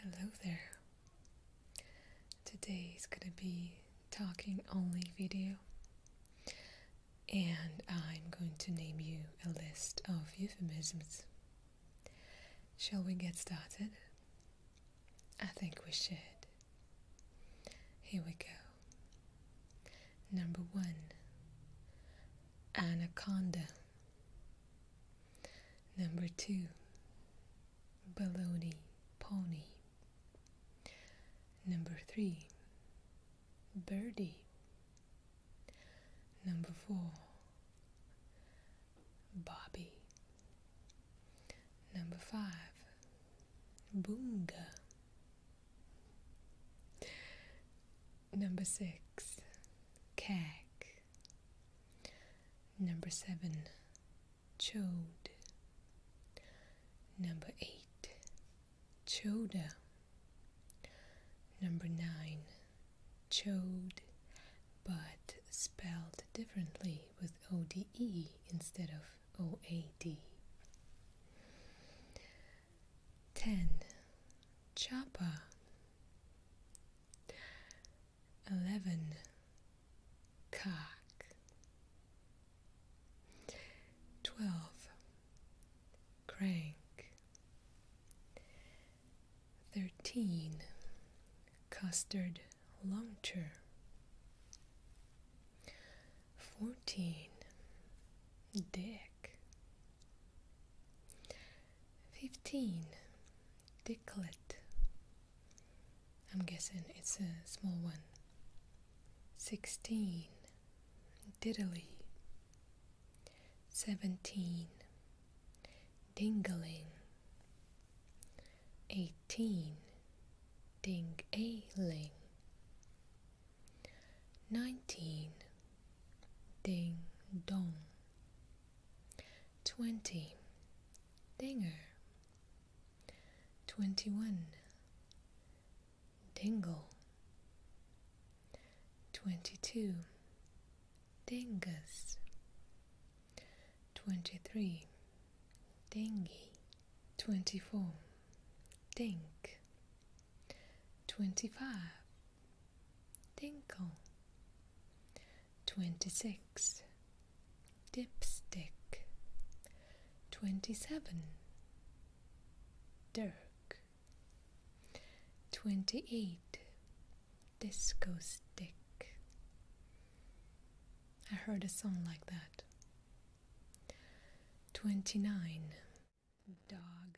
Hello there. Today is going to be talking only video, and I'm going to name you a list of euphemisms. Shall we get started? I think we should. Here we go. Number one Anaconda. Number two, Baloney Pony. Number three, Birdie. Number four, Bobby. Number five, Boonga. Number six, Cag. Number seven, chode. Number eight, choda. Number nine, chode, but spelled differently with ODE instead of OAD. 10. Chapa. Eleven. Cock. Twelve. Crank. Thirteen. Custard launcher. Fourteen. Dick. 15. Dicklet. I'm guessing it's a small one. 16. Diddly. 17. Dingling. 18. ding a 19. Ding dong. Twenty. Dinger. Twenty one. Dingle. Twenty two. Dingus. Twenty three. Dingy. Twenty four. Dink. Twenty five. Tinkle. 26. Dipstick. 27. Dirk. 28. Disco stick. I heard a song like that. 29. Dog.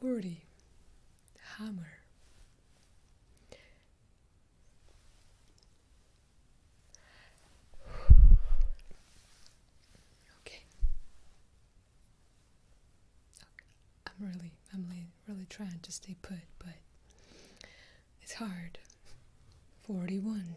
Forty. Hammer. Okay. I'm really, I'm really trying to stay put, but it's hard. Forty-one.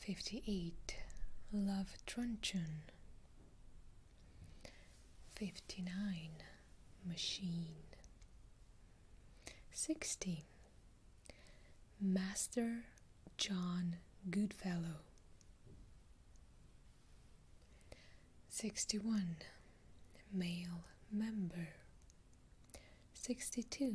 58. Love Truncheon. 59. Machine. 60. Master John Goodfellow. 61. Male member. 62.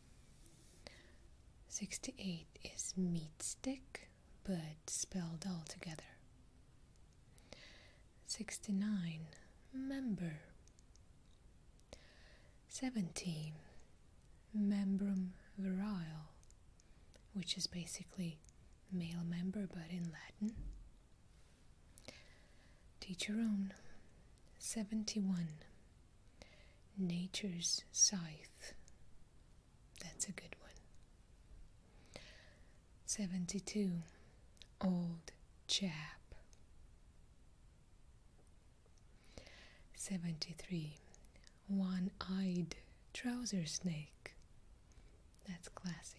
68 is meat stick, but spelled altogether. 69 member. Seventeen membrum virile, which is basically male member but in Latin. Teach your own. 71 Nature's Scythe. That's a good one. 72. Old Chap. 73. One eyed trouser snake. That's classy.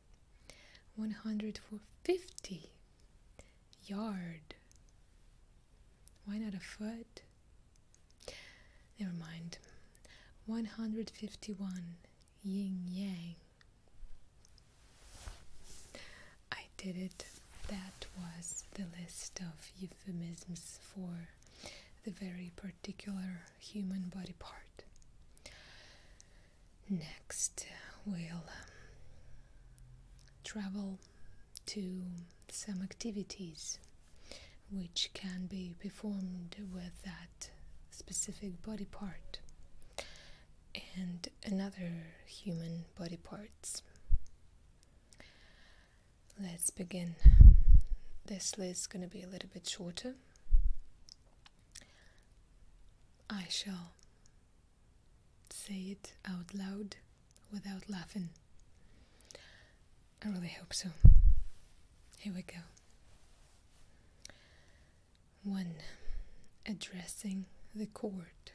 150 yard. Why not a foot? Never mind. 151 yin yang. I did it. That was the list of euphemisms for the very particular human body part. Next, we'll um, travel to some activities which can be performed with that specific body part and another human body parts. Let's begin. This list is going to be a little bit shorter I shall say it out loud without laughing. I really hope so. Here we go. 1. Addressing the court.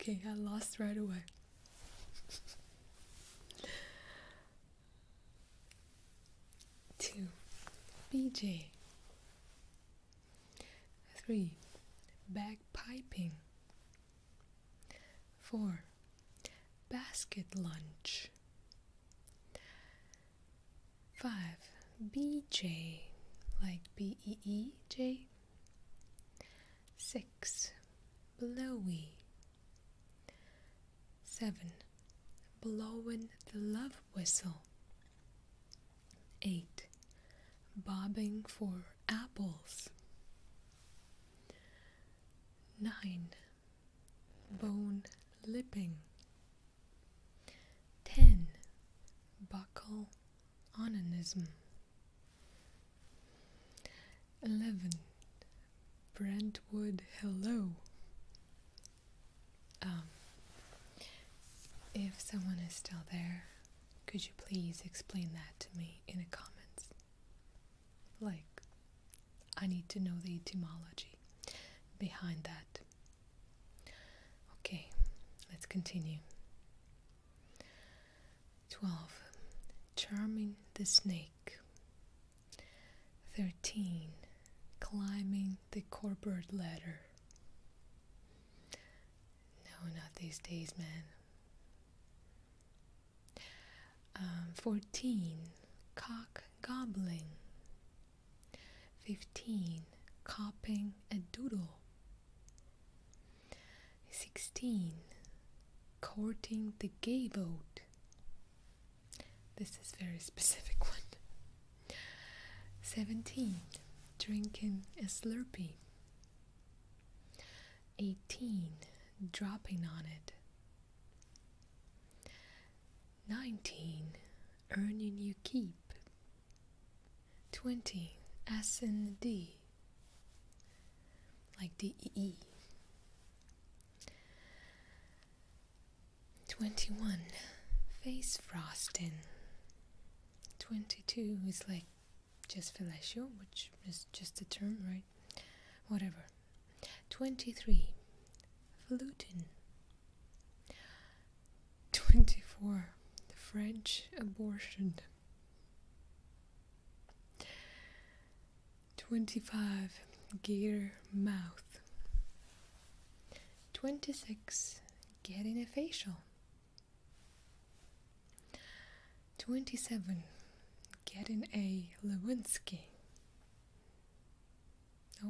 Okay, I lost right away. Two, BJ, 3. Bagpiping 4. Basket lunch 5. BJ like B-E-E-J 6. Blowy 7. Blowing the love whistle 8. Bobbing for apples. 9. Bone lipping. 10. Buckle onanism. 11. Brentwood hello. Um, if someone is still there, could you please explain that to me in the comments? Like, I need to know the etymology behind that. Okay, let's continue. 12. Charming the snake. 13. Climbing the corporate ladder. No, not these days, man. Um, 14. Cock gobbling. 15. Copping a doodle. 16. Courting the gay vote. This is very specific one. 17. Drinking a Slurpee. 18. Dropping on it. 19. Earning you keep. 20. S and D. Like D E E. 21. Face frosting. 22 is like just fellatio, which is just a term, right? Whatever. 23. Fluting. 24. The French abortion. 25. Gator mouth. 26. Getting a facial. 27. Getting a Lewinsky.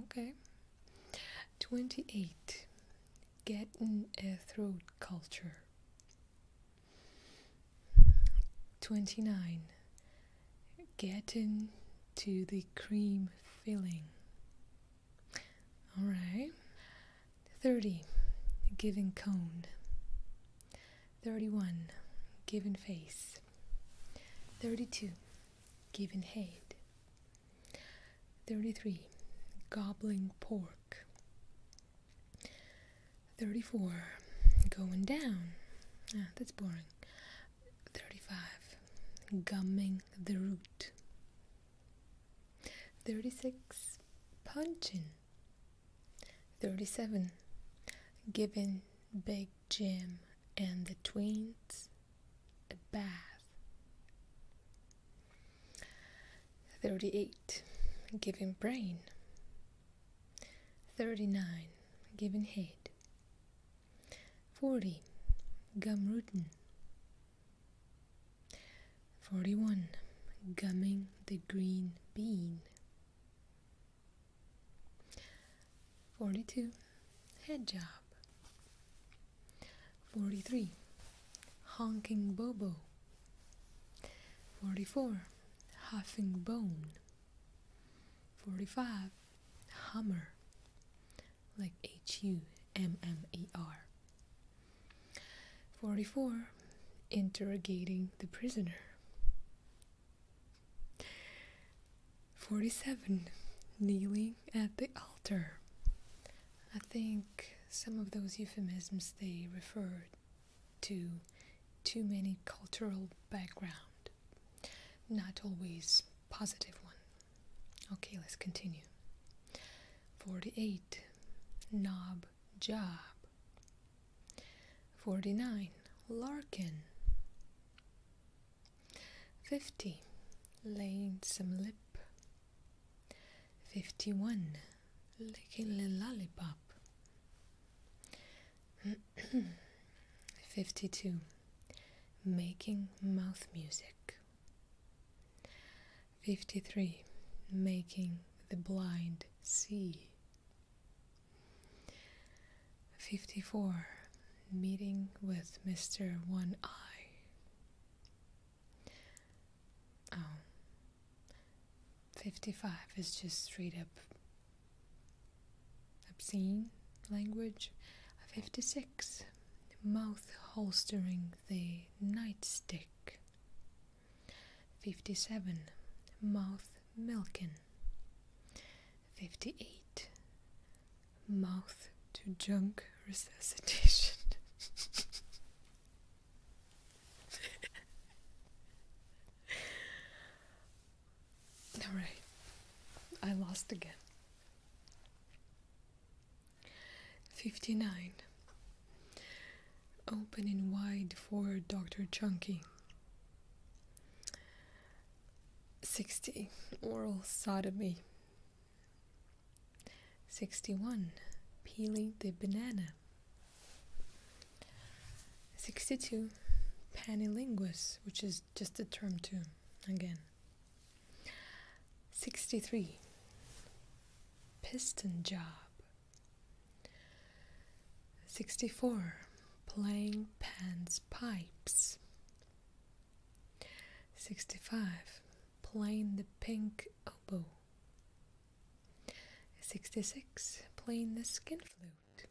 Okay. 28. Getting a throat culture. 29. Getting to the cream filling. Alright. 30. Given cone. 31. Given face. 32. Given head. 33. goblin pork. 34. Going down. Ah, that's boring. 35. Gumming the root. 36. Punching. 37. Giving Big Jim and the twins a bath. 38. Giving brain. 39. Giving head. 40. Gumrootin. 41. Gumming the green bean. 42. Head job. 43. Honking Bobo. 44. Huffing Bone. 45. hammer like H U M M E R. 44. Interrogating the prisoner. 47. Kneeling at the altar. I think some of those euphemisms they refer to too many cultural background, not always positive one. Okay, let's continue. 48. Knob job. 49. Larkin. 50. Laying some lip. 51. Licking the lollipop. 52. Making mouth music. 53. Making the blind see. 54. Meeting with Mr. One Eye. Um, 55 is just straight up obscene language. 56 mouth holstering the nightstick. 57. Mouth milking. 58. Mouth to junk resuscitation. Alright, I lost again. 59. Opening wide for Dr. Chunky. 60. Oral sodomy. 61. Peeling the banana. 62. Panlinguist, which is just a term to, again, 63. Piston job. 64. Playing pans pipes. 65. Playing the pink oboe. 66. Playing the skin flute.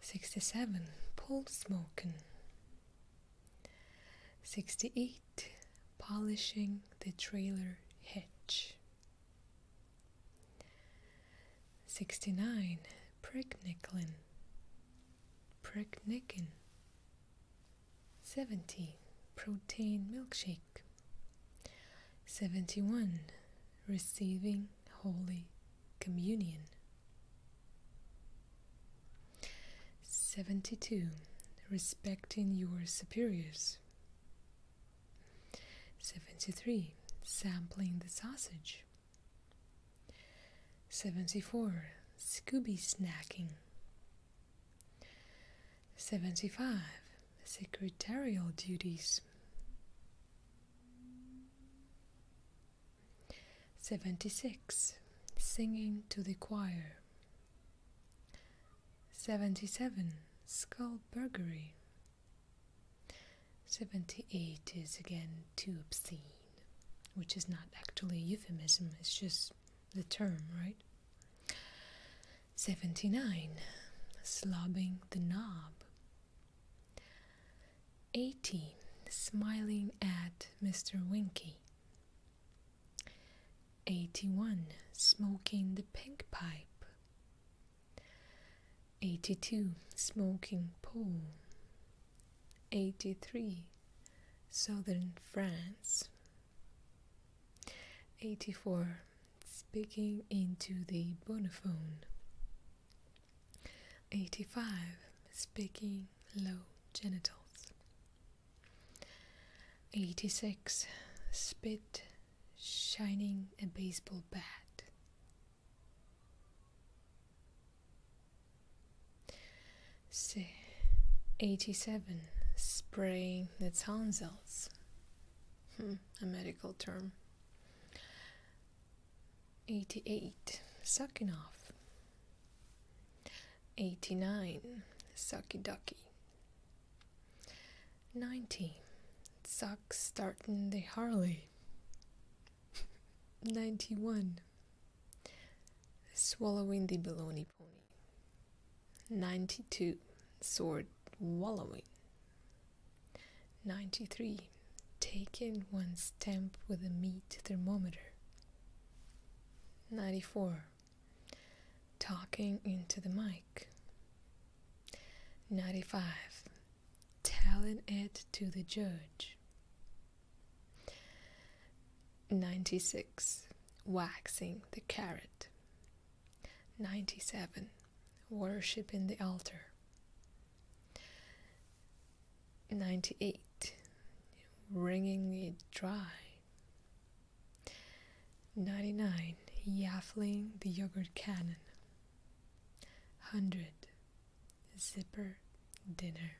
67. Pole smoking. 68. Polishing the trailer hitch. 69. Pregniclin. Pregnicin. 70. Protein milkshake. 71. Receiving holy communion. 72. Respecting your superiors. 73. Sampling the sausage. 74. Scooby snacking. 75. Secretarial duties. 76. Singing to the choir. 77. Skullburgery. 78 is again too obscene, which is not actually euphemism, it's just the term, right? 79. Slobbing the knob eighty, smiling at Mr. Winky. Eighty one, smoking the pink pipe. Eighty two, smoking pool. Eighty three, southern France. Eighty four, speaking into the bonophone. 85. Speaking low genitals. 86. Spit shining a baseball bat. 87. Spraying the tonsils. Hmm, a medical term. 88. Sucking off. 89. Sucky ducky. 90. Suck starting the Harley. 91. Swallowing the baloney pony. 92. Sword wallowing. 93. Taking one stamp with a meat thermometer. 94. Talking into the mic. 95. Telling it to the judge. 96. Waxing the carrot. 97. worshiping the altar. 98 wringing it dry 99 yaffling the yogurt cannon 100 zipper dinner